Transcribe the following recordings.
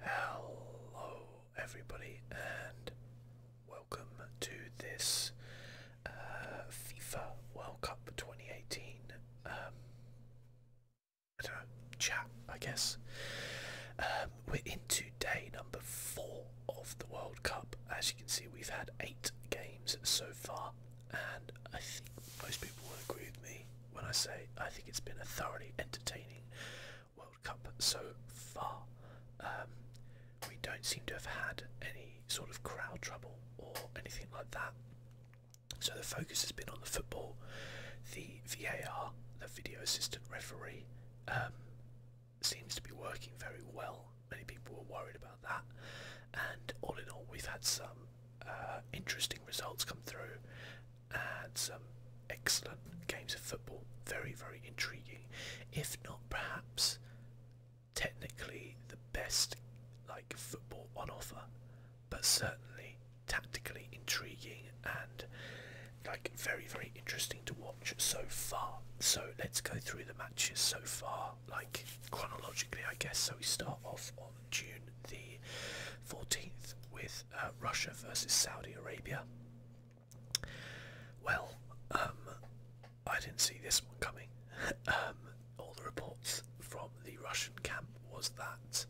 Hello, everybody, and welcome to this uh, FIFA World Cup 2018 um, I chat, I guess. Um, we're in today, number four of the World Cup. As you can see, we've had eight games so far, and I think most people will agree with me when I say I think it's been a thoroughly entertaining World Cup so far. Um, we don't seem to have had any sort of crowd trouble or anything like that. So the focus has been on the football, the VAR, the video assistant referee, um, seems to be working very well. Many people were worried about that, and all in all, we've had some uh, interesting results come through, and some excellent games of football. Very, very intriguing. If not, perhaps technically the best like football on offer, but certainly tactically intriguing and like very, very interesting to watch so far. So let's go through the matches so far, like chronologically, I guess. So we start off on June the 14th with uh, Russia versus Saudi Arabia. Well, um, I didn't see this one coming. Um, all the reports from the Russian camp was that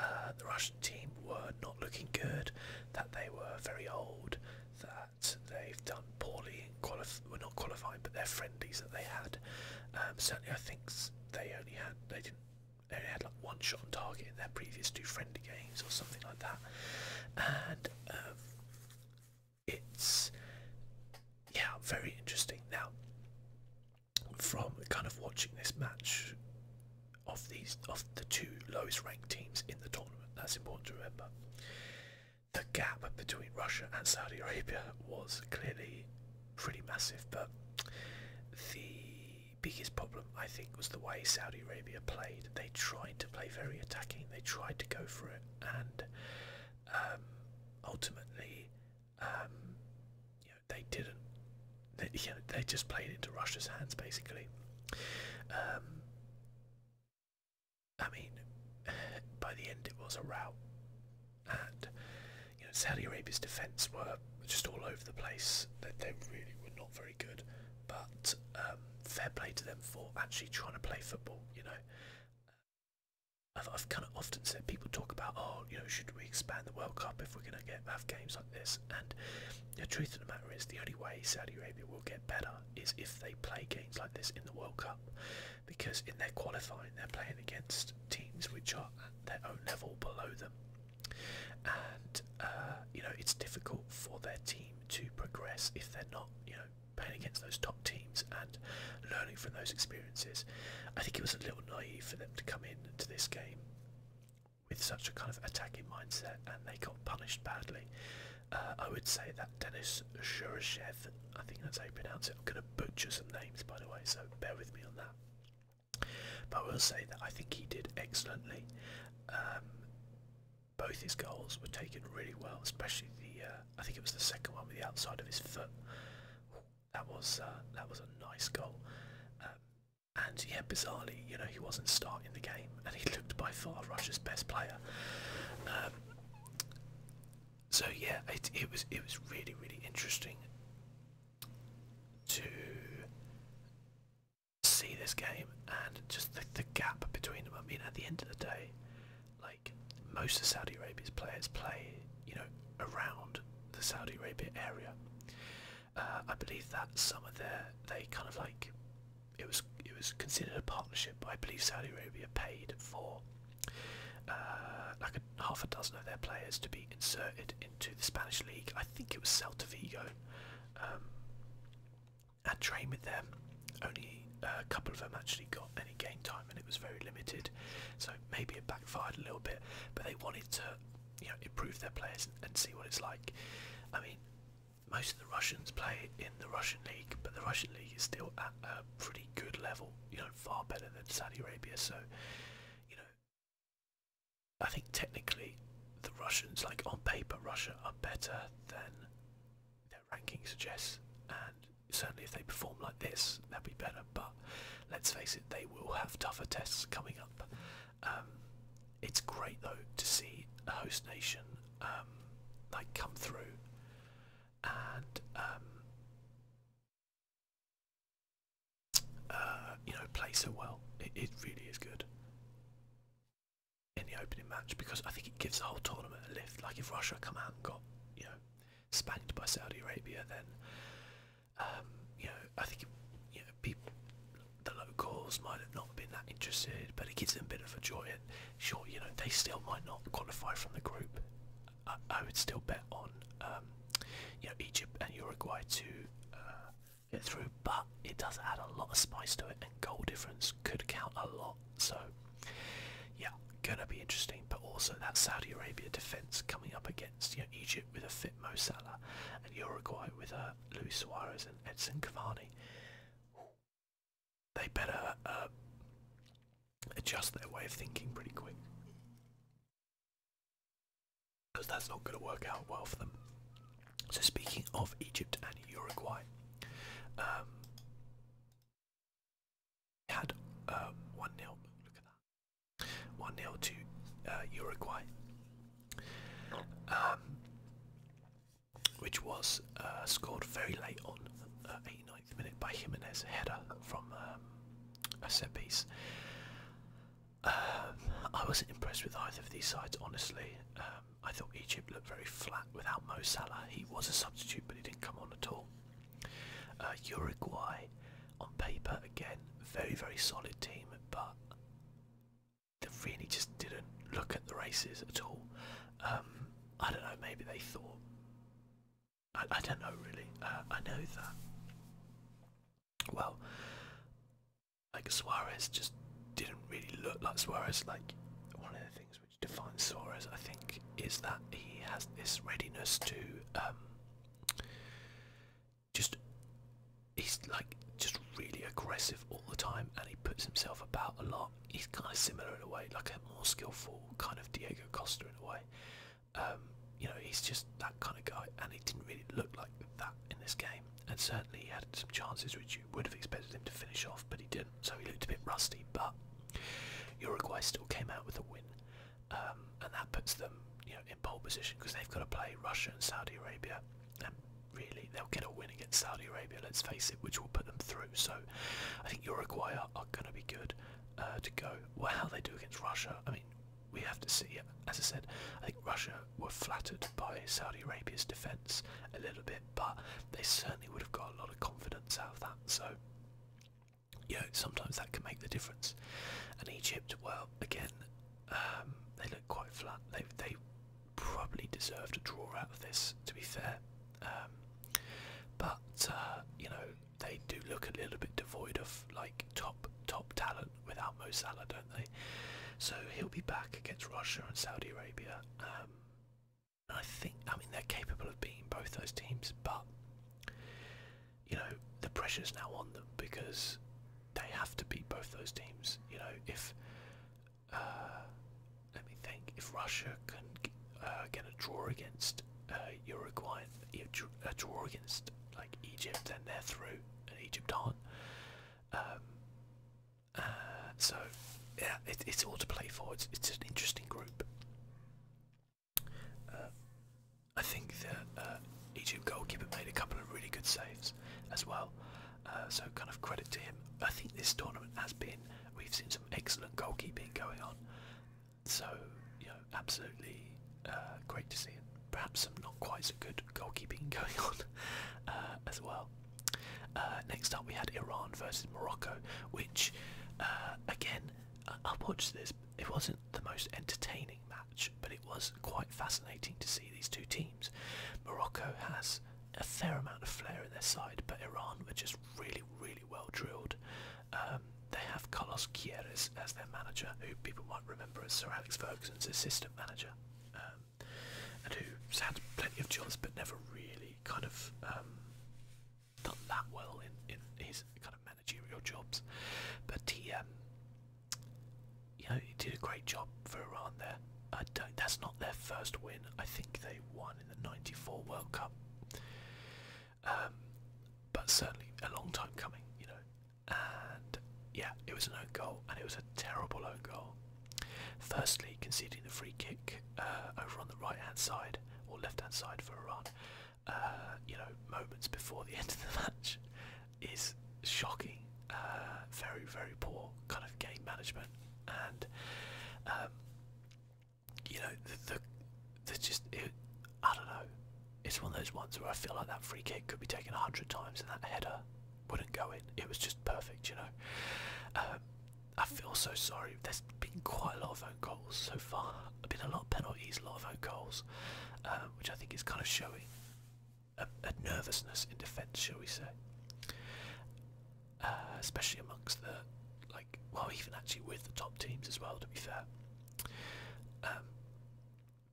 uh, the Russian team were not looking good, that they were very old, that they've done poorly were not qualifying, but their friendlies that they had. Um, certainly, I think they only had they didn't only had like one shot on target in their previous two friendly games or something like that. And um, it's yeah, very interesting. Now, from kind of watching this match of these of the two lowest ranked teams in the tournament, that's important to remember. The gap between Russia and Saudi Arabia was clearly pretty massive, but the biggest problem, I think, was the way Saudi Arabia played. They tried to play very attacking, they tried to go for it, and um, ultimately, um, you know, they didn't. They, you know, they just played into Russia's hands, basically. Um, I mean, by the end, it was a rout, and you know, Saudi Arabia's defence were just all over the place. They, they really were not very good, but um, fair play to them for actually trying to play football. You know, I've, I've kind of often said people talk about, oh, you know, should we expand the World Cup if we're going to get have games like this? And the truth of the matter is, the only way Saudi Arabia will get better is if they play games like this in the World Cup, because in their qualifying they're playing against teams which are at their own level below them and uh, you know it's difficult for their team to progress if they're not you know playing against those top teams and learning from those experiences. I think it was a little naive for them to come in to this game with such a kind of attacking mindset, and they got punished badly. Uh, I would say that Denis Shurashev, I think that's how you pronounce it. I'm going to butcher some names, by the way, so bear with me on that. But I will say that I think he did excellently. Um, both his goals were taken really well, especially the. Uh, I think it was the second one with the outside of his foot. That was uh, that was a nice goal. Um, and yeah, bizarrely, you know, he wasn't starting the game, and he looked by far Russia's best player. Um, so yeah, it, it was it was really really interesting to see this game and just the, the gap between them. I mean, at the end of the day, like most of Saudi Arabia's players play, you know, around the Saudi Arabia area. Uh, I believe that some of their they kind of like it was it was considered a partnership. I believe Saudi Arabia paid for uh, like half a dozen of their players to be inserted in to the Spanish league. I think it was Celta Vigo. Um, and trained with them. Only uh, a couple of them actually got any game time, and it was very limited. So maybe it backfired a little bit, but they wanted to, improve their players and see what it's like. I mean, most of the Russians play in the Russian league, but the Russian league is still at a pretty good level. You know, far better than Saudi Arabia. So, you know, I think technically the Russians, like on paper, Russia are better than their ranking suggests, and certainly if they perform like this, they'll be better. But let's face it, they will have tougher tests coming up. Um, it's great though to see a host nation um, like come through and um, uh, you know, play so well. It, really is good in the opening match because I think it gives the whole tournament a lift. Like if Russia come out and got, you know, spanked by Saudi Arabia, then um, you know, I think you know people, the locals might have not been that interested, but it gives them a bit of a joy. And sure, you know, they still might not qualify from the group. I, would still bet on, um, you know, Egypt and Uruguay to uh, get through, but it does add a lot of spice to it, and goal difference could count a lot. So, yeah, gonna be interesting. But also that Saudi Arabia defense coming up against you know, Egypt with a fit Mo Salah, and Uruguay with a uh, Luis Suarez and Edson Cavani. They better uh, adjust their way of thinking pretty quick because that's not going to work out well for them. So speaking of Egypt and Uruguay, um, had um, one 0 Look at that, one 0 to uh, Uruguay, um, which was uh, scored very late on, 89th uh, minute by Jimenez header from a set piece. Um, I wasn't impressed with either of these sides, honestly. Um, I thought Egypt looked very flat without Mo Salah. He was a substitute, but he didn't come on at all. Uh, Uruguay, on paper, again, very, very solid team, but they really just didn't look at the races at all. Um, I don't know, maybe they thought. I, don't know, really. Uh, I know that. Well, like Suarez just didn't really look like Suarez. Like one of the things which defines Suarez, I think, is that he has this readiness to um, just he's like just really aggressive all the time, and he puts himself about a lot. He's kind of similar in a way, like a more skillful kind of Diego Costa in a way. Um, you know, he's just that kind of guy, and he didn't really look like that in this game. And certainly, he had some chances which you would have expected him to finish off, but he didn't. So he looked a bit rusty. But Uruguay still came out with a win, um, and that puts them, you know, in pole position because they've got to play Russia and Saudi Arabia, and really they'll get a win against Saudi Arabia. Let's face it, which will put them through. So I think Uruguay are, going to be good uh, to go. Well, how they do against Russia, I mean, we have to see. As I said, I think Russia were flattered by Saudi Arabia's defence a little bit, but they certainly would have got a lot of confidence out of that. So, you know, sometimes that can make the difference. And Egypt, well, again, um, they look quite flat. They they probably deserve to draw out of this, to be fair. Um, but uh, you know, they do look a little bit devoid of like top top talent without Mo Salah, don't they? So he'll be back against Russia and Saudi Arabia. Um, I think, I mean, they're capable of beating both those teams, but you know, the pressure's now on them because they have to beat both those teams. You know, if uh, let me think, if Russia can uh, get a draw against uh, Uruguay, a draw against like Egypt, then they're through. Egypt aren't. Um, uh, so yeah, it's all to play for. It's it's an interesting group. Uh, I think that uh, Egypt goalkeeper made a couple of really good saves as well. Uh, so kind of credit to him. I think this tournament has been. We've seen some excellent goalkeeping going on. So you know, absolutely great to see it perhaps some not quite so good goalkeeping going on uh, as well. Uh, next up, we had Iran versus Morocco, which uh, again, I, watched this. It wasn't the most entertaining match, but it was quite fascinating to see these two teams. Morocco has a fair amount of flair in their side, but Iran were just really, really well drilled. Um, they have Carlos Quieres as their manager, who people might remember as Sir Alex Ferguson's assistant manager um, and who's had plenty of jobs but never really kind of um, done that well in, in his kind of managerial jobs. But he, um, you know, he did a great job for Iran there. I don't, that's not their first win. I think they won in the '94 World Cup. Um, but certainly a long time coming, you know and yeah, it was an own goal, and it was a terrible own goal. Firstly, conceding the free kick uh, over on the right hand side or left hand side for Iran, uh, you know, moments before the end of the match, is shocking. Uh, very, very poor kind of game management, and um, you know, the, the, just I don't know. It's one of those ones where I feel like that free kick could be taken a hundred times and that header wouldn't go in. It was just perfect, you know. Um, I feel so sorry. There's been quite a lot of own goals so far. There've been a lot of penalties, a lot of own goals, um, which I think is kind of showing a, nervousness in defence, shall we say? Uh, especially amongst the like, well, even actually with the top teams as well. To be fair, um,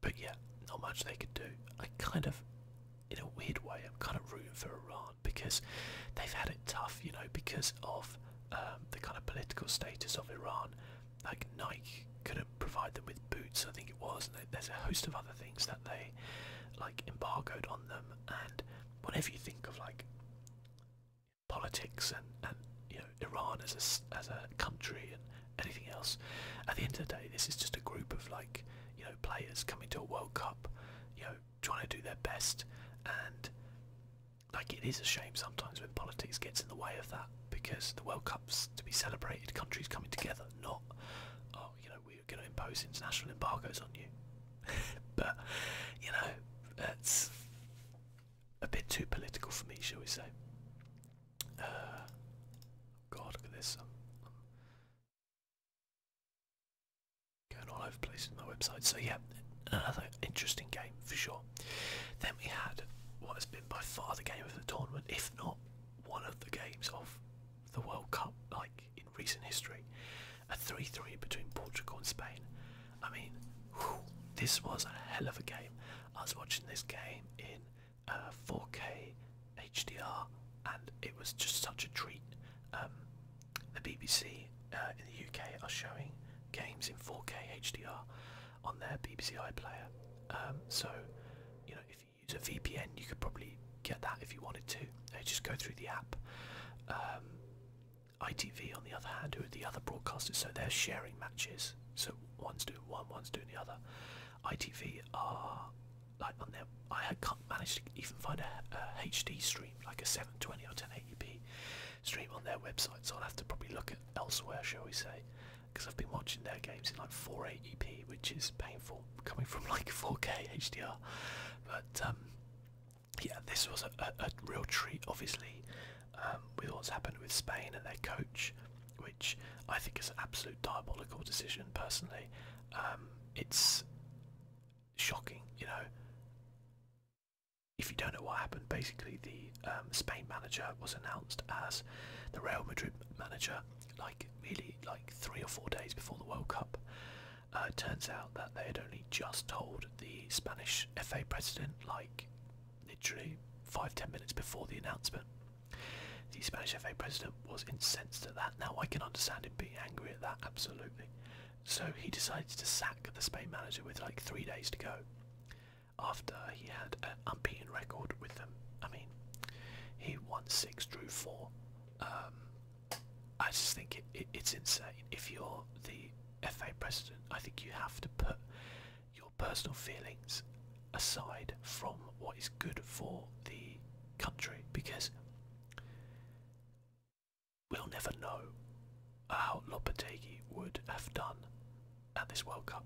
but yeah, not much they could do. I kind of, in a weird way, I'm kind of rooting for Iran because they've had it tough, you know, because of um, the kind of political status of Iran. Like Nike couldn't provide them with boots, I think it was, and there's a host of other things that they like embargoed on them. And whatever you think of like politics and and you know Iran as a as a country and anything else. At the end of the day, this is just a group of like you know players coming to a World Cup, you know, trying to do their best, and like it is a shame sometimes when politics gets in the way of that because the World Cup's to be celebrated, countries coming together, not oh you know we're going to impose international embargoes on you. but you know that's a bit too political for me, shall we say? oh God, look at this. going all over the my website. So yeah, another interesting game for sure. Then we had what has been by far the game of the tournament, if not one of the games of the World Cup, like in recent history. A 3-3 between Portugal and Spain. I mean, this was a hell of a game. I was watching this game in 4K uh, HDR, and it was just such a treat. Um, the BBC uh, in the UK are showing games in 4K HDR on their BBC iPlayer. Um, so, you know, if you use a VPN, you could probably get that if you wanted to. just go through the app. Um, ITV, on the other hand, who are the other broadcasters, so they're sharing matches. So one's doing one, one's doing the other. ITV are like on their. I can't manage to even find a, HD stream, like a 720 or 1080p stream on their website. So I'll have to probably look at elsewhere, shall we say? Because I've been watching their games in like 480p, which is painful coming from like 4K HDR. But um, yeah, this was a, real treat, obviously, um, with what's happened with Spain and their coach which I think is an absolute diabolical decision personally. Um, it's shocking, you know. If you don't know what happened, basically the um, Spain manager was announced as the Real Madrid manager, like really like three or four days before the World Cup. Uh, turns out that they had only just told the Spanish FA president, like literally five ten minutes before the announcement. The Spanish FA president was incensed at that. Now I can understand him being angry at that, absolutely. So he decides to sack the Spain manager with like three days to go. After he had an unbeaten record with them. I mean, he won six, drew four. Um, I just think it's insane. If you're the FA president, I think you have to put your personal feelings aside from what is good for the country because we'll never know how Lopetegui would have done at this World Cup.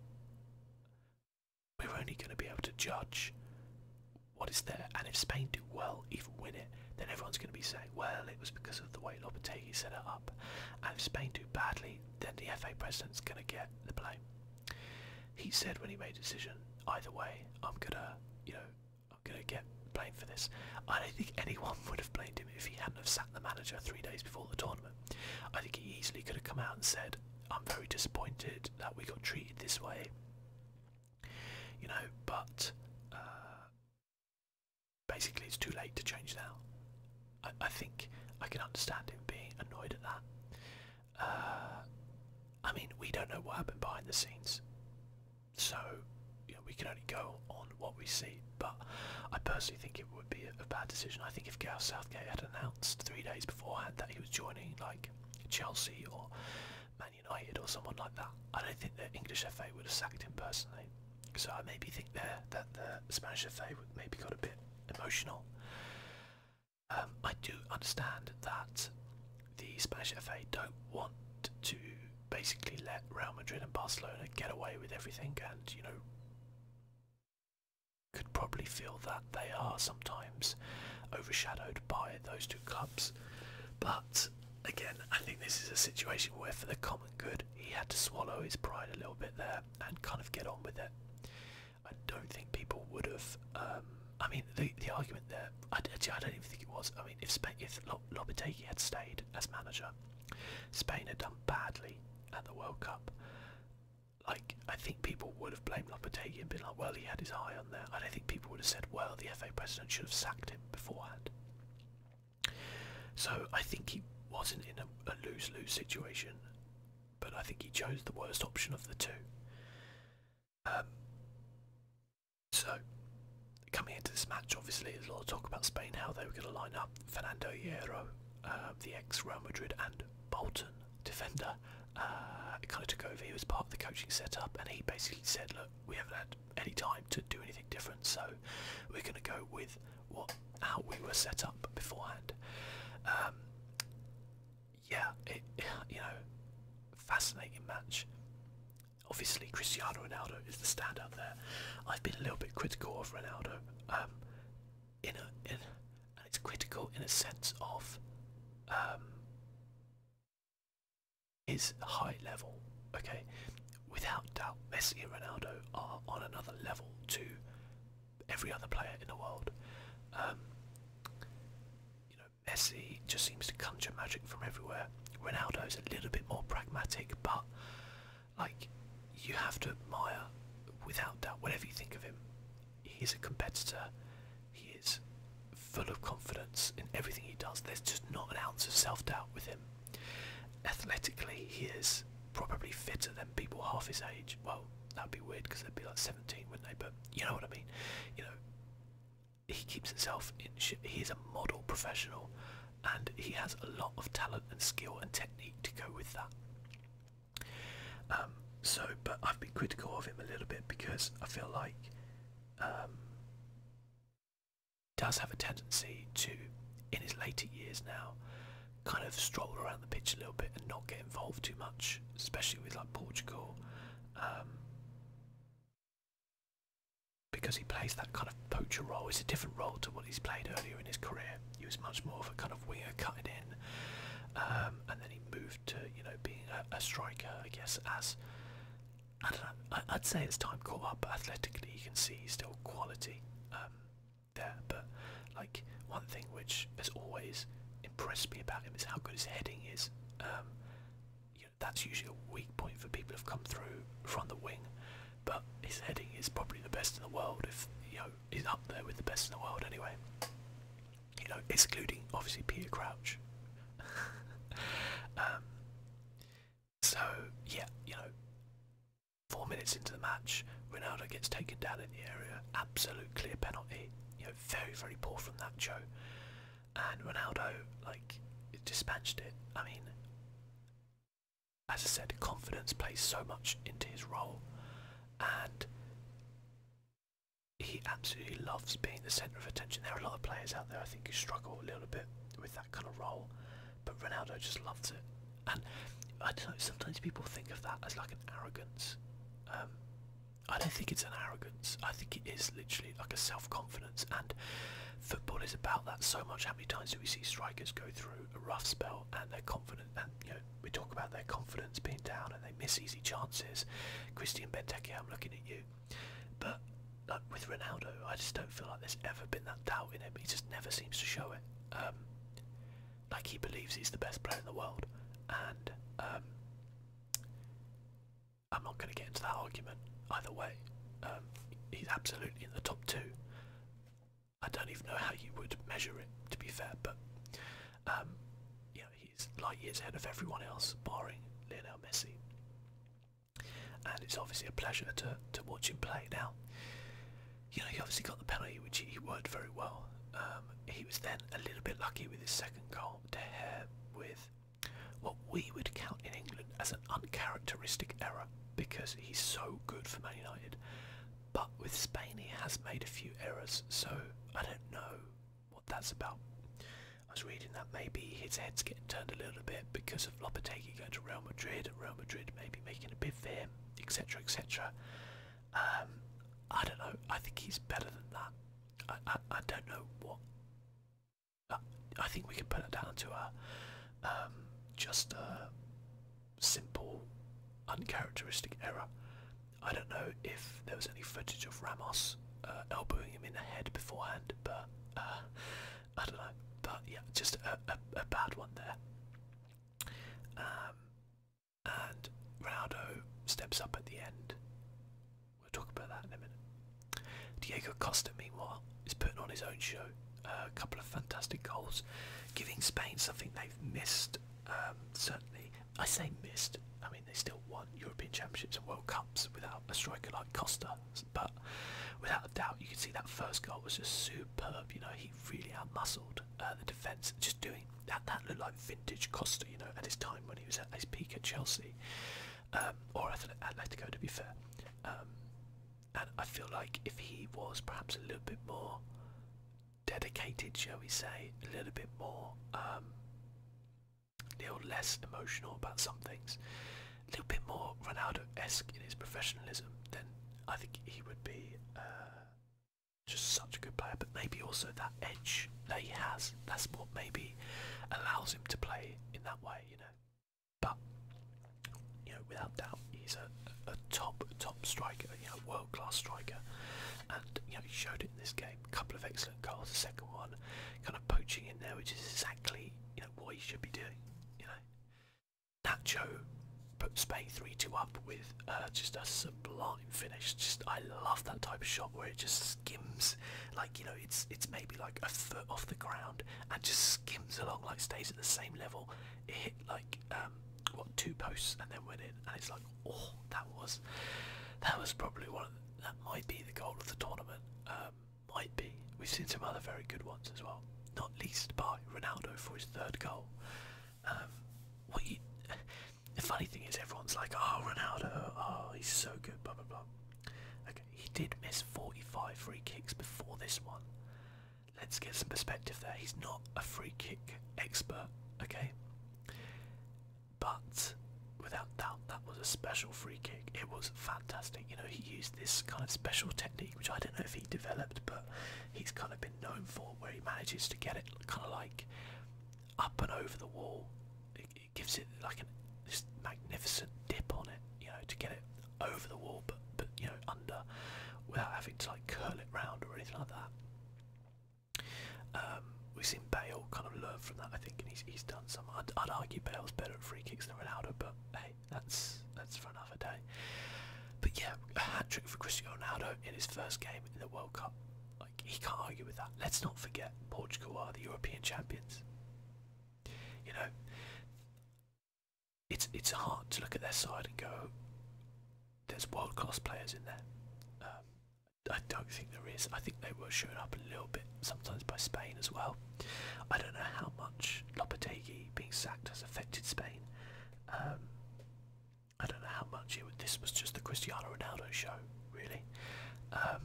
We're only going to be able to judge what is there, and if Spain do well, even win it, then everyone's going to be saying, well, it was because of the way Lopetegui set it up. And if Spain do badly, then the FA president's going to get the blame. He said when he made a decision, either way, I'm gonna, you know, I'm gonna get blamed for this. I don't think anyone would have blamed him if he hadn't have sat the manager three days before the tournament. I think he easily could have come out and said, I'm very disappointed that we got treated this way. You know, but uh, basically it's too late to change now. I think I can understand him being annoyed at that. Uh, I mean, we don't know what happened behind the scenes, so we can only go on what we see. But I personally think it would be a, a bad decision. I think if Gareth Southgate had announced three days beforehand that he was joining, like Chelsea or Man United or someone like that, I don't think the English FA would have sacked him personally. So I maybe think there that the Spanish FA would maybe got a bit emotional. Um, I do understand that the Spanish FA don't want to basically let Real Madrid and Barcelona get away with everything, and you know could probably feel that they are sometimes overshadowed by those two clubs. But again, I think this is a situation where, for the common good, he had to swallow his pride a little bit there and kind of get on with it. I don't think people would have. Um, I mean, the the argument there. I, actually, I don't even think it was. I mean, if Spain, if Lopetegui had stayed as manager, Spain had done badly at the World Cup. Like, I think people would have blamed Lopetegui and been like, "Well, he had his eye on there." I don't think people would have said, "Well, the FA president should have sacked him beforehand." So I think he wasn't in a, a lose lose situation but I think he chose the worst option of the two. Um, so, coming into this match, obviously, there's a lot of talk about Spain, how they were going to line up. Fernando Hierro, uh, the ex Real Madrid and Bolton defender, uh, kind of took over. He was part of the coaching setup, and he basically said, Look, we haven't had any time to do anything different, so we're going to go with what how we were set up beforehand. Um, yeah, it, you know, fascinating match. Obviously, Cristiano Ronaldo is the standout there. I've been a little bit critical of Ronaldo, um, in a, in, and it's critical in a sense of um, his high level. Okay, without doubt, Messi and Ronaldo are on another level too every other player in the world. Um, you know, Messi just seems to conjure magic from everywhere. Ronaldo is a little bit more pragmatic, but like you have to admire, without doubt, whatever you think of him, he's a competitor. He is full of confidence in everything he does. There's just not an ounce of self-doubt with him. Athletically, he is probably fitter than people half his age. Well, that'd be weird because they'd be like 17, wouldn't they? But you know what I mean. You know, he keeps himself in. he is a model professional, and he has a lot of talent and skill and technique to go with that. Um, so, but I've been critical of him a little bit because I feel like um, does have a tendency to, in his later years now, kind of stroll around the pitch a little bit and not get involved too much especially with like Portugal, um, because he plays that kind of poacher role. It's a different role to what he's played earlier in his career. He was much more of a kind of winger cutting in, um, and then he moved to you know being a, striker, I guess. As I don't know, I, would say it's time caught up. athletically, you can see still quality um, there, but like one thing which as always impressed me about him is how good his heading is. Um, you know, that's usually a weak point for people who've come through from the wing, but his heading is probably the best in the world. If you know, he's up there with the best in the world anyway. You know, excluding obviously Peter Crouch. Um, so yeah, you know, four minutes into the match, Ronaldo gets taken down in the area. Absolute clear penalty very, very poor from that Joe. And Ronaldo, like, dispatched it. I mean, as I said, confidence plays so much into his role, and he absolutely loves being the centre of attention. There are a lot of players out there, I think, who struggle a little bit with that kind of role, but Ronaldo just loves it. And I don't know, sometimes people think of that as like an arrogance. Um, I don't think it's an arrogance. I think it is literally like a self-confidence, and football is about that so much. How many times do we see strikers go through a rough spell and they're confident? And you know, we talk about their confidence being down, and they miss easy chances. Christian Benteke, I'm looking at you, but with Ronaldo, I just don't feel like there's ever been that doubt in him. He just never seems to show it. Um, like he believes he's the best player in the world, and um, I'm not going to get into that argument either way. Um, he's absolutely in the top two. I don't even know how you would measure it, to be fair, but um, you know, he's light years ahead of everyone else, barring Lionel Messi. And it's obviously a pleasure to, to watch him play now. You know, he obviously got the penalty, which he worked very well. Um, um, he was then a little bit lucky with his second goal to hair with what we would count in England as an uncharacteristic error because he's so good for Man United. But with Spain, he has made a few errors, so I don't know what that's about. I was reading that maybe his head's getting turned a little bit because of Lopetegui going to Real Madrid and Real Madrid maybe making a bid for him, etc. etc. Um, I don't know, I think he's better than that. I, I, don't know what. I, think we can put it down to a um, just a simple, uncharacteristic error. I don't know if there was any footage of Ramos uh, elbowing him in the head beforehand, but uh, I don't know. But yeah, just a, a, a bad one there. Um, and Ronaldo steps up at the end. We'll talk about that in a minute. Diego Costa, meanwhile, is putting on his own show. a couple of fantastic goals, giving Spain something they've missed. Um, certainly, I say missed. I mean, they still won European Championships and World Cups without a striker like Costa, but without a doubt, you can see that first goal was just superb. You know, he really outmuscled uh, the defence, just doing that, that looked like vintage Costa, you know, at his time when he was at his peak at Chelsea, or I um, or Atletico to be fair. Um, and I feel like if he was perhaps a little bit more dedicated, shall we say, a little bit more, um, a little less emotional about some things, a little bit more Ronaldo-esque in his professionalism, then I think he would be uh, just such a good player, but maybe also that edge that he has. That's what maybe allows him to play in that way, you know. But you know, without doubt, he's a, a top top striker, you know, world class striker, and you know he showed it in this game. A couple of excellent goals, the second one, kind of poaching in there, which is exactly you know what he should be doing. You know, Nacho put Spain three two up with uh, just a sublime starting finish. Just I love that type of shot where it just skims, like you know, it's it's maybe like a foot off the ground and just skims along, like stays at the same level. It hit like um, what two posts and then went in, and it's like oh that was that was probably one that might be the goal of the tournament. Um, might be. We've seen some other very good ones as well, not least by Ronaldo for his third goal. Um, the funny thing is, everyone's like, oh, Ronaldo, oh, he's so good, blah, blah, blah. Okay, he did miss 45 free kicks before this one. Let's get some perspective there. He's not a free kick expert, okay? But without doubt, that was a special free kick. It was fantastic. You know, he used this kind of special technique, which I don't know if he developed, but he's kind of been known for, where he manages to get it kind of like up and over the wall. It, gives it like a this magnificent dip on it, you know, to get it over the wall, but but you know under, without having to like curl it round or anything like that. Um, we've seen Bale kind of learn from that, I think, and he's he's done some. I'd, I'd argue Bale's better at free kicks than Ronaldo, but hey, that's that's for another day. But yeah, a hat trick for Cristiano Ronaldo in his first game in the World Cup he can't argue with that. Let's not forget Portugal are the European champions. You know, it's it's hard to look at their side and go, "There's world class players in there." Um, I don't think there is. I think they were showing up a little bit sometimes by Spain as well. I don't know how much Lopetegui being sacked has affected Spain. Um, I don't know how much it this was just the Cristiano Ronaldo show, really. Um,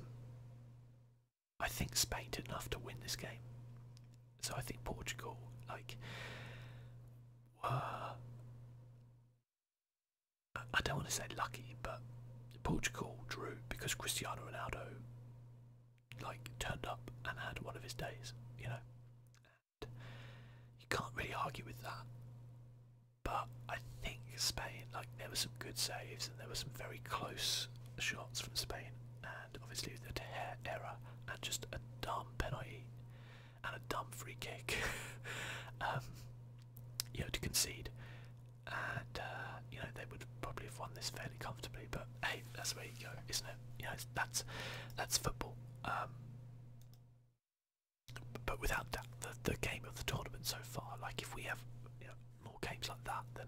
I think Spain did enough to win this game, so I think Portugal like were. I don't want to say lucky, but Portugal drew because Cristiano Ronaldo like turned up and had one of his days, you know. you can't really argue with that but I think Spain, like there were some good saves and there were some very close shots from Spain, and obviously the De error and just a dumb penalty and a dumb free kick, um, you know, to concede, and uh, you know they would probably have won this fairly comfortably. But hey, that's where you go, isn't it? You know, that's that's football. Um, but without that, the, the game of the tournament so far, like if we have more games like that, then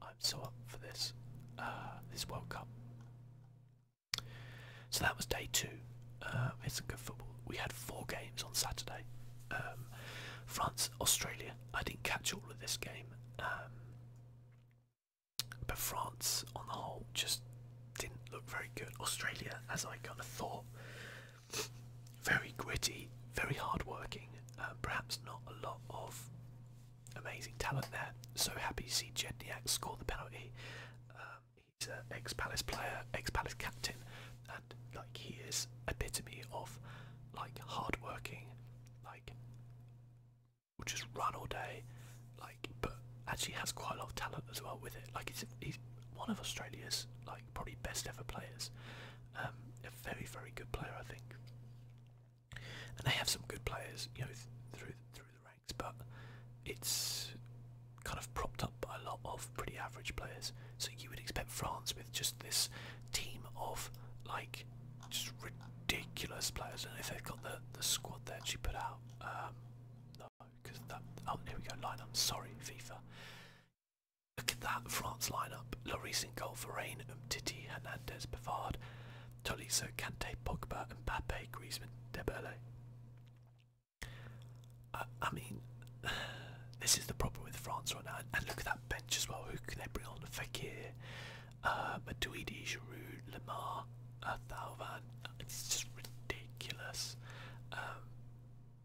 I'm so up for this uh, this World Cup. So that was day two. Uh, it's a good football. We had four games on Saturday. Um, France, Australia. I didn't catch all of this game, um, but France on the whole just didn't look very good. Australia, as I kind of thought, very gritty, very hardworking. Uh, perhaps not a lot of amazing talent there. So happy to see Jedniak score the penalty. Um, he's an ex-Palace player, ex-Palace captain, and like he is epitome of like hardworking, like will just run all day, like but actually has quite a lot of talent as well with it. Like he's one of Australia's like probably best ever players. Um, a very very good player, I think. And they have some good players, you know, through through the ranks, but it's kind of propped up by a lot of pretty average players. So you would expect France with just this team of like just ridiculous players. and if they've got the the squad there she put out. Um, no, because that. Oh, here we go. Line. I'm sorry, FIFA. Look at that France lineup. Lloris in goal, Varane, Umtiti, Hernandez, Pavard, Tolisso, Kante, Pogba, Mbappe, Griezmann, Debele. Uh, I mean, this is the problem with France right now. And look at that bench as well. Who can they bring on? Fekir, uh, Matuidi, Giroud, Lemar, uh, It's just ridiculous. Um,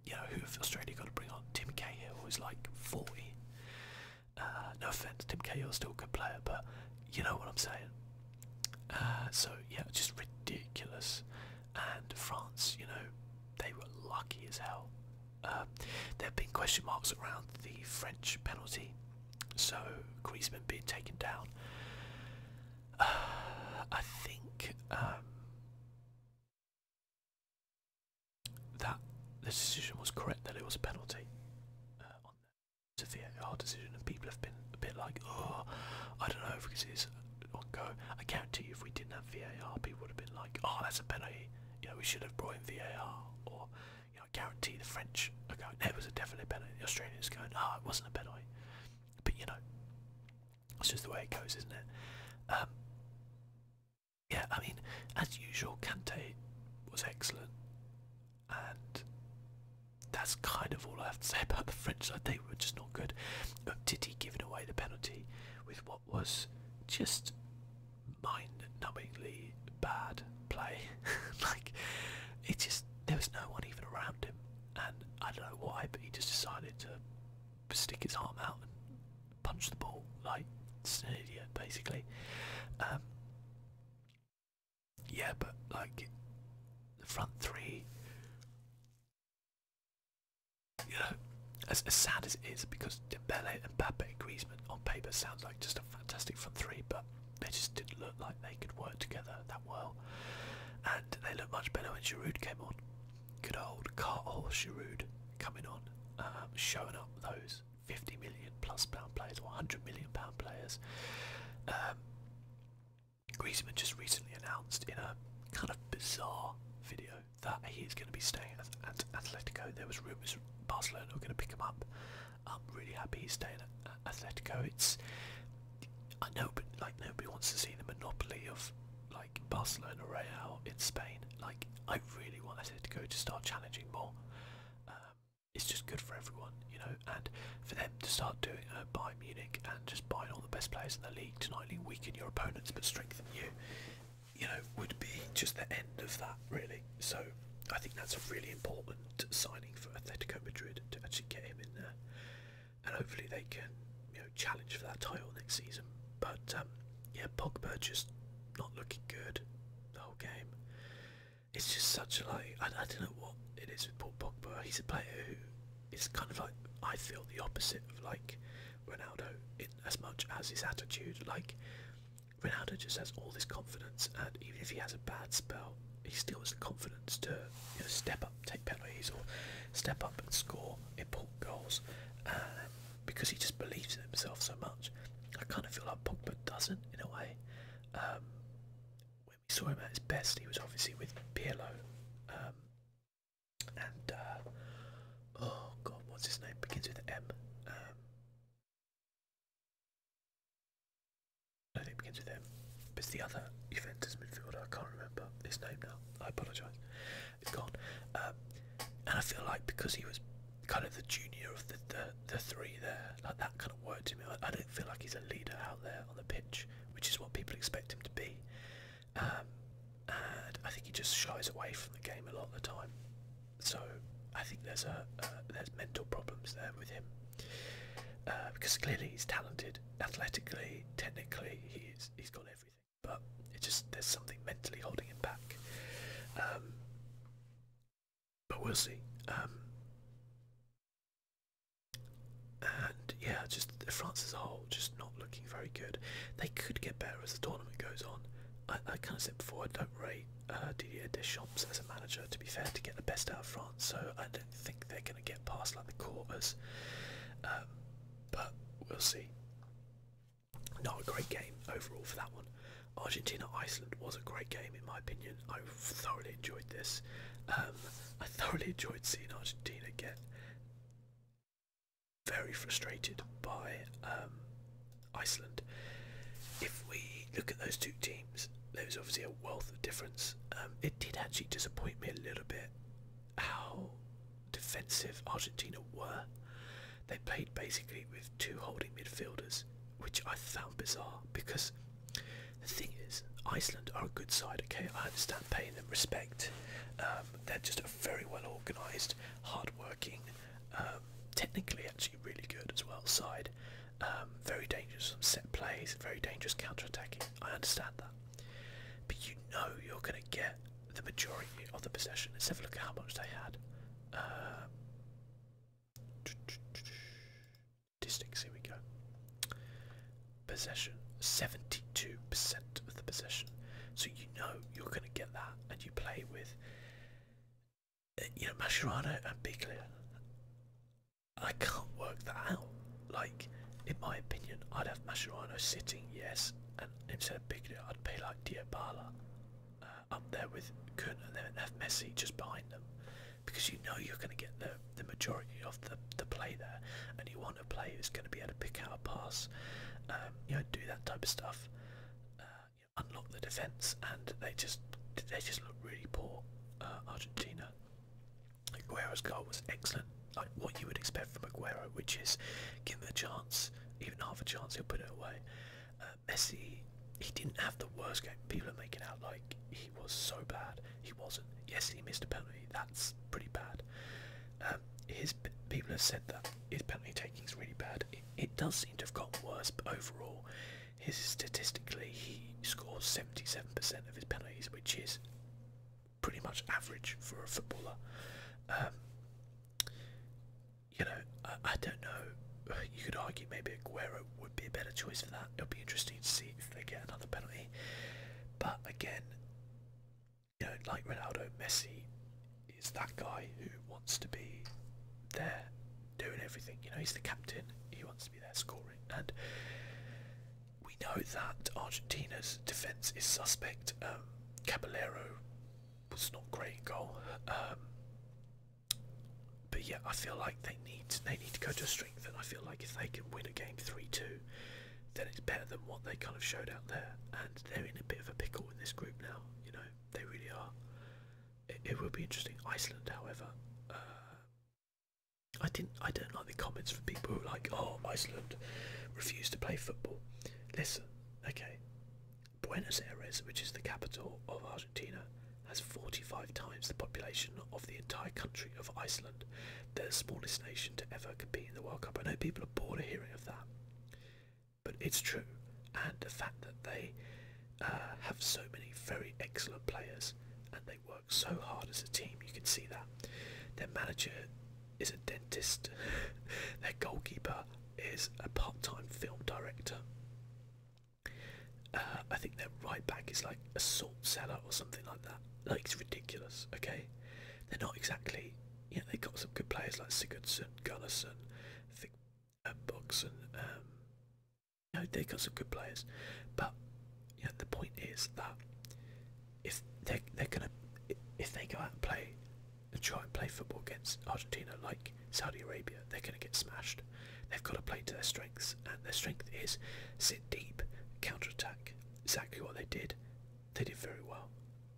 you know, who Australia got to bring on? Tim Cahill was like 40. Uh, no offense, Tim Cahill's still a good player, but you know what I'm saying. Uh, so yeah, just ridiculous. And France, you know, they were lucky as hell. Uh, there have been question marks around the French penalty, so Griezmann being taken down. I think um, that the decision was correct, that it was a penalty. Uh, on the VAR decision, and people have been a bit like, oh, I don't know if we can see this on go. I guarantee you, if we didn't have VAR, people would have been like, oh, that's a penalty. You know, we should have brought in VAR. Or, you know, I guarantee the French are going, no, it was a definite penalty. The Australians going, oh, it wasn't a penalty. But, you know, that's just the way it goes, isn't it? Um, yeah, I mean, as usual, Kante was excellent, and that's kind of all I have to say about the French I think They were just not good. Titi giving away the penalty with what was just mind-numbingly bad play. like, it just there was no one even around him, and I don't know why, but he just decided to stick his arm out and punch the ball like it's an idiot basically. Um, yeah, but like the front three, you know, as, as sad as it is, because Dembele and Mbappe and Griezmann on paper sounds like just a fantastic front three, but they just didn't look like they could work together that well, and they looked much better when Giroud came on. Good old Carl Giroud coming on, um, showing up those 50 million plus pound players or 100 million pound players. Um, Griezmann just recently announced in a kind of bizarre video that he is going to be staying at, Atletico. There was rumours Barcelona were going to pick him up. I'm really happy he's staying at, Atletico. It's I know, but like nobody wants to see the monopoly of like like Barcelona Real in Spain. Like I really want Atletico to go to start challenging more. Um, it's just good for everyone, you know, and for them to start doing uh, buy Munich and just buying all the best players in the league to not only weaken your opponents but strengthen you, you know, would be just the end of that really. So I think that's a really important signing for Atletico Madrid to actually get him in there and hopefully they can you know challenge for that title next season. But um, yeah, Pogba just not looking good the whole game. It's just such a like I, don't know what it is with Paul Pogba. He's a player who is kind of like I feel the opposite of like Ronaldo in as much as his attitude. Like Ronaldo just has all this confidence, and even if he has a bad spell, he still has the confidence to step up, take penalties, or step up and score. In goals um, because he just believes in himself so much. I kind of feel like Pogba doesn't in a way. Um, when we saw him at his best, he was obviously with Pirlo. Um, and, uh, oh god, what's his name? Begins with M. Um, it begins with M. it's the other Juventus midfielder. I can't remember his name now. I apologise is gone. Um, and I feel like because he was kind of the junior of the, the, the three there, like that kind of worked him. I, I don't feel like he's a leader out there on the pitch, which is what people expect him to be. Um, and I think he just shies away from the game a lot of the time. So I think there's a uh, there's mental problems there with him uh, because clearly he's talented athletically, technically, he's he's got everything but it's just there's something mentally holding him back. Um, but we'll see. Um, and yeah, just France as a whole, just not looking very good. They could get better as the tournament goes on. I, I kind of said before, I don't rate uh, Didier Deschamps as a manager, to be fair, to get the best out of France. So I don't think they're going to get past like the quarters. Um, but we'll see. Not a great game overall for that one. Argentina Iceland was a great game in my opinion. I thoroughly enjoyed this. Um, I thoroughly enjoyed seeing Argentina get very frustrated by um, Iceland. If we look at those two teams, there was obviously a wealth of difference. Um, it did actually disappoint me a little bit how defensive Argentina were. They played basically with two holding midfielders, which I found bizarre because the thing is, Iceland are a good side, okay? I understand paying them respect. Um, they're just a very well organised, hard working, um, technically actually really good as well side. Um, very dangerous set plays, very dangerous counter attacking. I understand that. But you know you're going to get the majority of the possession. Let's have a look at how much they had. Uh, statistics, here we go. Possession, 72% of the possession. So you know you're going to get that, and you play with, uh, you know, Mascherano and Biglia. I can't work that out. Like, in my opinion, I'd have Mascherano sitting, yes, instead of picking it, I'd pay like Diabala uh, up there with Kun and then have Messi just behind them because you know you're going to get the, the majority of the, the play there and you want a player who's going to be able to pick out a pass, um, you know, do that type of stuff, uh, unlock the defence and they just they just look really poor, uh, Argentina. Guerra's goal was excellent like what you would expect from Aguero, which is give him a chance, even half a chance, he'll put it away. Uh, Messi, he didn't have the worst game. People are making out like he was so bad. He wasn't. Yes, he missed a penalty. That's pretty bad. Um, his people have said that his penalty taking is really bad. It, does seem to have gotten worse, but overall, his statistically he scores 77% of his penalties, which is pretty much average for a footballer. Um, you know, I, don't know. You could argue maybe Aguero would be a better choice for that. It'll be interesting to see if they get another penalty. But again, you know, like Ronaldo, Messi is that guy who wants to be there doing everything. You know, he's the captain. He wants to be there scoring. And we know that Argentina's defence is suspect. Um, Caballero was not great in goal. Um, but yeah, I feel like they need they need to go to strength, and I feel like if they can win a game three two, then it's better than what they kind of showed out there. And they're in a bit of a pickle in this group now. You know, they really are. It, it will be interesting. Iceland, however, uh, I didn't I don't like the comments from people who are like, oh, Iceland refused to play football. Listen, okay. Buenos Aires, which is the capital of Argentina, has 45 times the population of the entire country of Iceland, the smallest nation to ever compete in the World Cup. I know people are bored of hearing of that, but it's true. And the fact that they uh, have so many very excellent players and they work so hard as a team, you can see that. Their manager is a dentist. Their goalkeeper is a part-time film director. Uh, I think their right back is like a salt seller or something like that. Like it's ridiculous. Okay, they're not exactly. Yeah, they've got some good players like Sigurdsson, Gunnarsson, I think uh, Bogson. Um, you know, they got some good players, but yeah, the point is that if they they're gonna if they go out and play and try and play football against Argentina like Saudi Arabia, they're gonna get smashed. They've got to play to their strengths, and their strength is sit deep, counter attack. Exactly what they did. They did very well.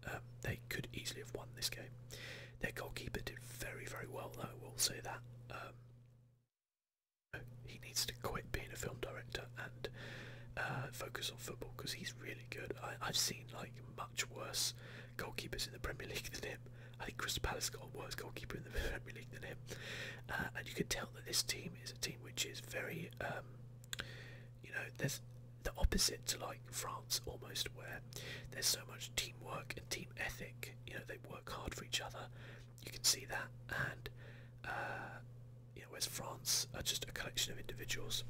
Um, they could easily have won this game. Their goalkeeper did very, very well, though. We'll say that. Um, he needs to quit being a film director and uh, focus on football because he's really, good. I, have seen like much worse goalkeepers in the Premier League than him. I think Crystal Palace got a worse goalkeeper in the Premier League than him, uh, and you can tell that this team is a team which is very, um, you know, there's the opposite to like France almost, where there's so much teamwork and team ethic. You know, they work hard for each other. You can see that, and uh, you know, whereas France are just a collection of individuals.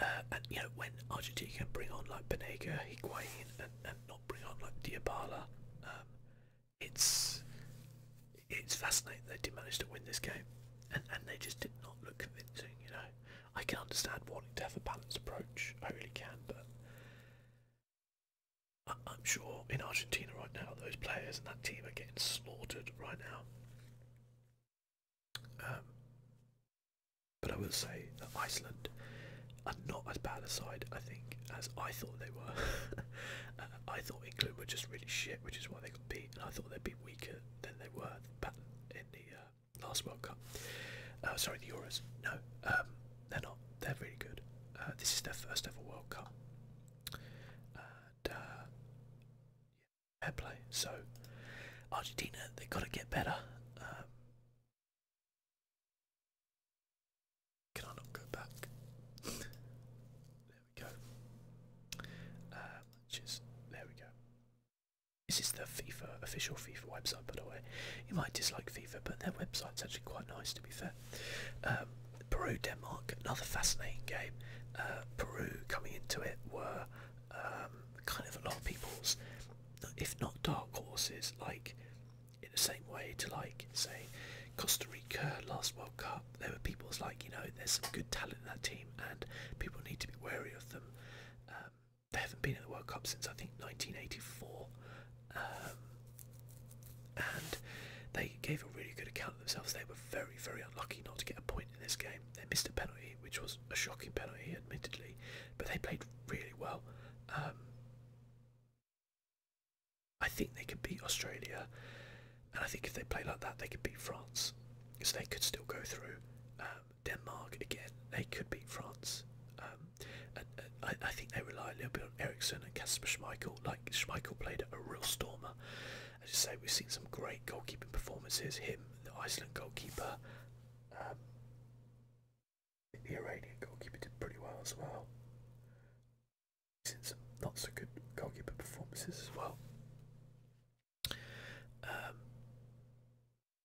Uh, and you know when Argentina can bring on like Benega, Higuain, and, not bring on like Diabala, um, it's it's fascinating they did manage to win this game, and and they just did not look convincing. You know, I can understand wanting to have a balanced approach, I really can, but I'm sure in Argentina right now those players and that team are getting slaughtered right now. Um, but I will say that Iceland are not as bad a side, I think, as I thought they were. Uh, I thought England were just really shit, which is why they got beat, and I thought they'd be weaker than they were in the uh, last World Cup. Uh, sorry, the Euros. No, um, they're not. They're really good. Uh, this is their first ever World Cup, fair play. So Argentina, they got to get better. Uh, can I not go back? there we go. Uh, there we go. This is the FIFA official FIFA website, by the way. You might dislike FIFA, but their website's actually quite nice, to be fair. Um, Peru Denmark, another fascinating game. Uh, Peru coming into it were um, kind of a lot of people's, if not dark horses, like in the same way to like say Costa Rica last World Cup. There were people's like you know there's some good talent in that team and people need to be wary of them. Um, they haven't been in the World Cup since I think 1984, um, and they gave a really good account of themselves. They were very very unlucky not to get a point in this game. They missed a penalty, which was a shocking penalty, admittedly, but they played really well. Um, I think they could beat Australia, and I think if they play like that, they could beat France. because they could still go through. Um, Denmark again, they could beat France. Um, and, I, think they rely a little bit on Ericsson and Casper Schmeichel. Like Schmeichel played a real stormer, as I say, we've seen some great goalkeeping performances. Him, the Iceland goalkeeper, um, the Iranian goalkeeper did pretty well as well. seen some not so good goalkeeper performances as well. Um,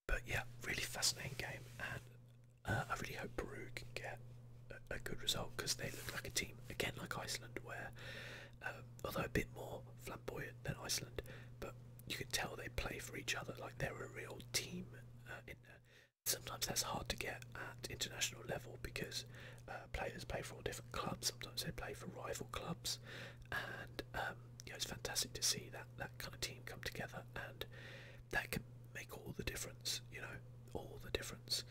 but yeah, really fascinating game, and uh, I really hope Peru can get a, a good result because they look like a team again, like Iceland, where uh, although a bit more flamboyant than Iceland. But you can tell they play for each other, like they're a real team uh, Sometimes that's hard to get at international level because uh, players play for different clubs. Sometimes they play for rival clubs, and um, it's fantastic to see that that kind of team come together, and that can make all the difference. You know, all the difference.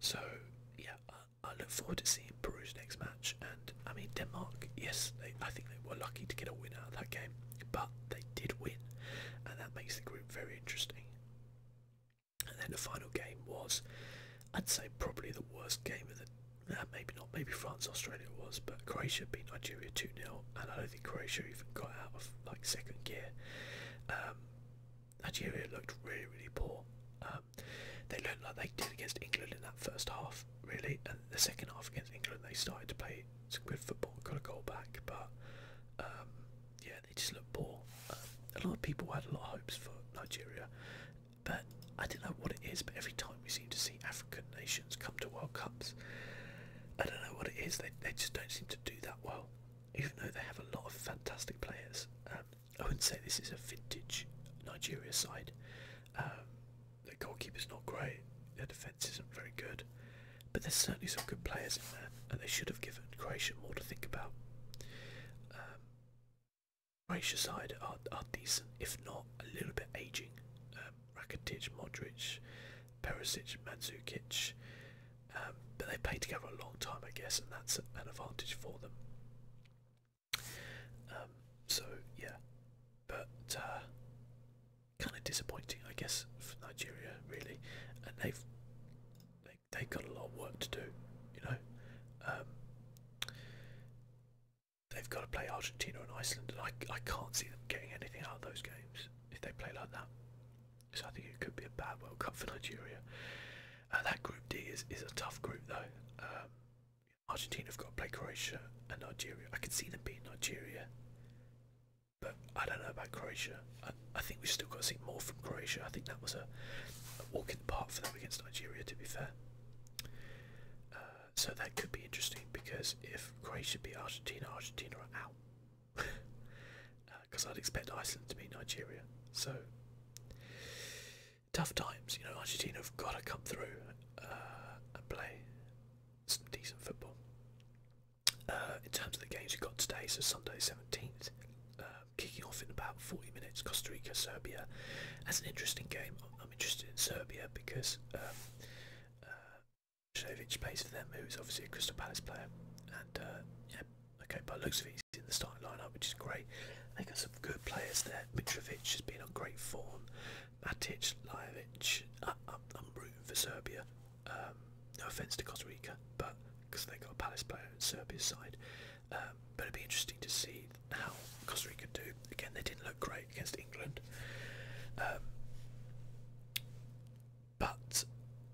So yeah, I look forward to seeing Peru's next match. And I mean, Denmark, yes, they, I think they were lucky to get a win out of that game, but they did win, and that makes the group very interesting. And then the final game was, I'd say, probably the worst game of the. maybe not, maybe France Australia was, but Croatia beat Nigeria 2 0, and I don't think Croatia even got out of like second gear. Um, Nigeria looked really, really poor. Uh, they looked like they did against England in that first half, really, and the second half against England they started to play good football, got a goal back, but um, yeah, they just looked poor. Um, a lot of people had a lot of hopes for Nigeria, but I don't know what it is, but every time we seem to see African nations come to World Cups, I don't know what it is, they, they just don't seem to do that well, even though they have a lot of fantastic players. Um, I wouldn't say this is a vintage Nigeria side. Um, the goalkeeper's not great, their defence isn't very good, but there's certainly some good players in there, and they should have given Croatia more to think about. Um, Croatia side are, are decent, if not a little bit ageing. Um, Rakitic, Modric, Perisic, Mandzukic, um, but they play together a long time, I guess, and that's an advantage for them. Um, so yeah, but uh, kind of disappointing, I guess, for Nigeria really, and they've they, they've got a lot of work to do, you know. Um, they've got to play Argentina and Iceland, and I I can't see them getting anything out of those games if they play like that. So I think it could be a bad World Cup for Nigeria. Uh, that Group D is, is a tough group though. Um, Argentina have got to play Croatia and Nigeria. I can see them beating Nigeria, but I don't know about Croatia. I, think we've still got to see more from Croatia. I think that was a, walk in the park for them against Nigeria, to be fair. Uh, so that could be interesting because if Croatia beat Argentina, Argentina are out. Because uh, I'd expect Iceland to beat Nigeria. So tough times. You know, Argentina have got to come through uh, and play some decent football. Uh, in terms of the games we've got today, so Sunday 17th, uh, kicking off in about 40 minutes, Costa Rica, Serbia. That's an interesting game. I'm, interested in Serbia because um, uh, plays for them, who's obviously a Crystal Palace player. And okay, but looks of it, in the starting lineup, which is great. They got some good players there. Mitrovic has been on great form. Matic, Lajovic, I'm, rooting for Serbia. Um, no offence to Costa Rica, but because they've got a Palace player on Serbia's side. Um, but it'd be interesting to see how Costa Rica do. Again, they didn't look great against England. Um, but,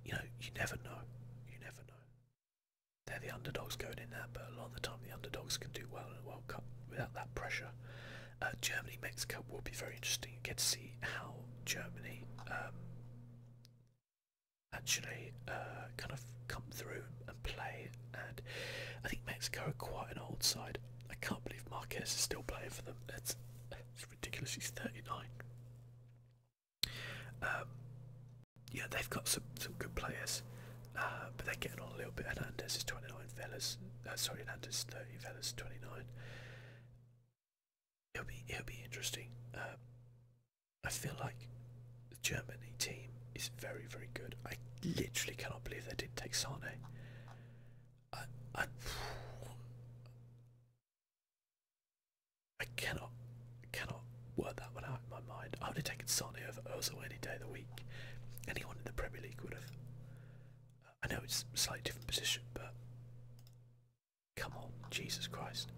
you know, you never know. You never know they're the underdogs going in there, but a lot of the time the underdogs can do well in a World Cup without that pressure. Uh, Germany Mexico will be very interesting. You get to see how Germany um, actually uh, kind of come through and play. And I think Mexico are quite an old side. I can't believe Marquez is still playing for them. It's, ridiculous. He's 39. Um, yeah, they've got some, some good players. Uh, but they're getting on a little bit. Hernandez is 29, Fellas. Uh, sorry, Hernandez 30, Fellas 29. It'll be it'll be interesting. Uh, I feel like the Germany team is very very good. I literally cannot believe they didn't take Sane. I I, I cannot cannot work that one out in my mind. I would have taken Sane over Ozil any day of the week. Anyone in the Premier League would have. I know it's a slightly different position, but come on, Jesus Christ.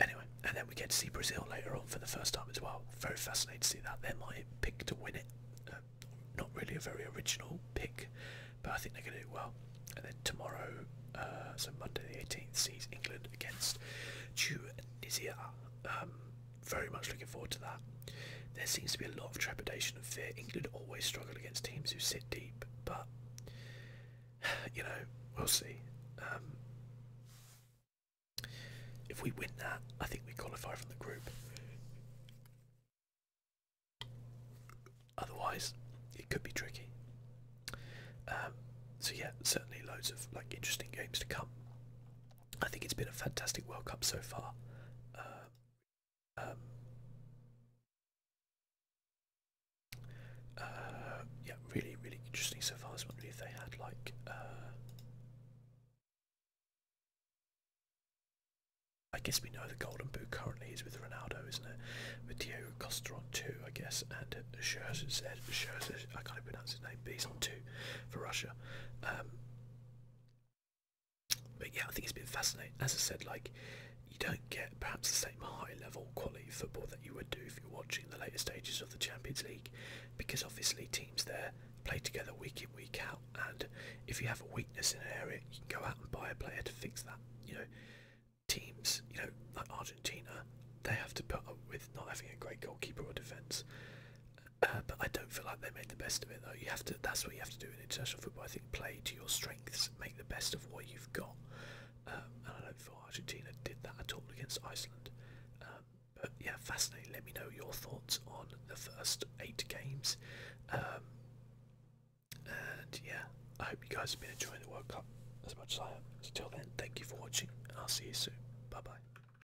anyway, and then we get to see Brazil later on for the first time as well. Very fascinating to see that. They're my pick to win it. Uh, not really a very original pick, but I think they're going to do well. And then tomorrow, uh, so Monday the 18th, sees England against Tunisia. Um, very much looking forward to that. There seems to be a lot of trepidation and fear. England always struggle against teams who sit deep, but you know, we'll see. Um, if we win that, I think we qualify from the group. Otherwise, it could be tricky. Um, so yeah, certainly loads of like interesting games to come. I think it's been a fantastic World Cup so far. Uh, um, yeah, really, really interesting so far. I if they had like. Uh, I guess we know the golden boot currently is with Ronaldo, isn't it? With Diego Costa on two, I guess, and Scherzer, Scherzer I can't pronounce his name, but he's on two for Russia. Um, but yeah, I think it's been fascinating. As I said, like you don't get perhaps the same high level quality football that you would do if you're watching the later stages of the Champions League, because obviously teams there play together week in week out, and if you have a weakness in an area, you can go out and buy a player to fix that. You know, teams, you know, like Argentina, they have to put up with not having a great goalkeeper or defence. Uh, but I don't feel like they made the best of it though. You have to. That's what you have to do in international football. I think play to your strengths, make the best of what you've got. Um, and I don't feel Argentina did that at all against Iceland. Um, but yeah, fascinating. Let me know your thoughts on the first eight games. Um, and yeah, I hope you guys have been enjoying the World Cup as much as I am. Until then, thank you for watching, I'll see you soon. Bye bye.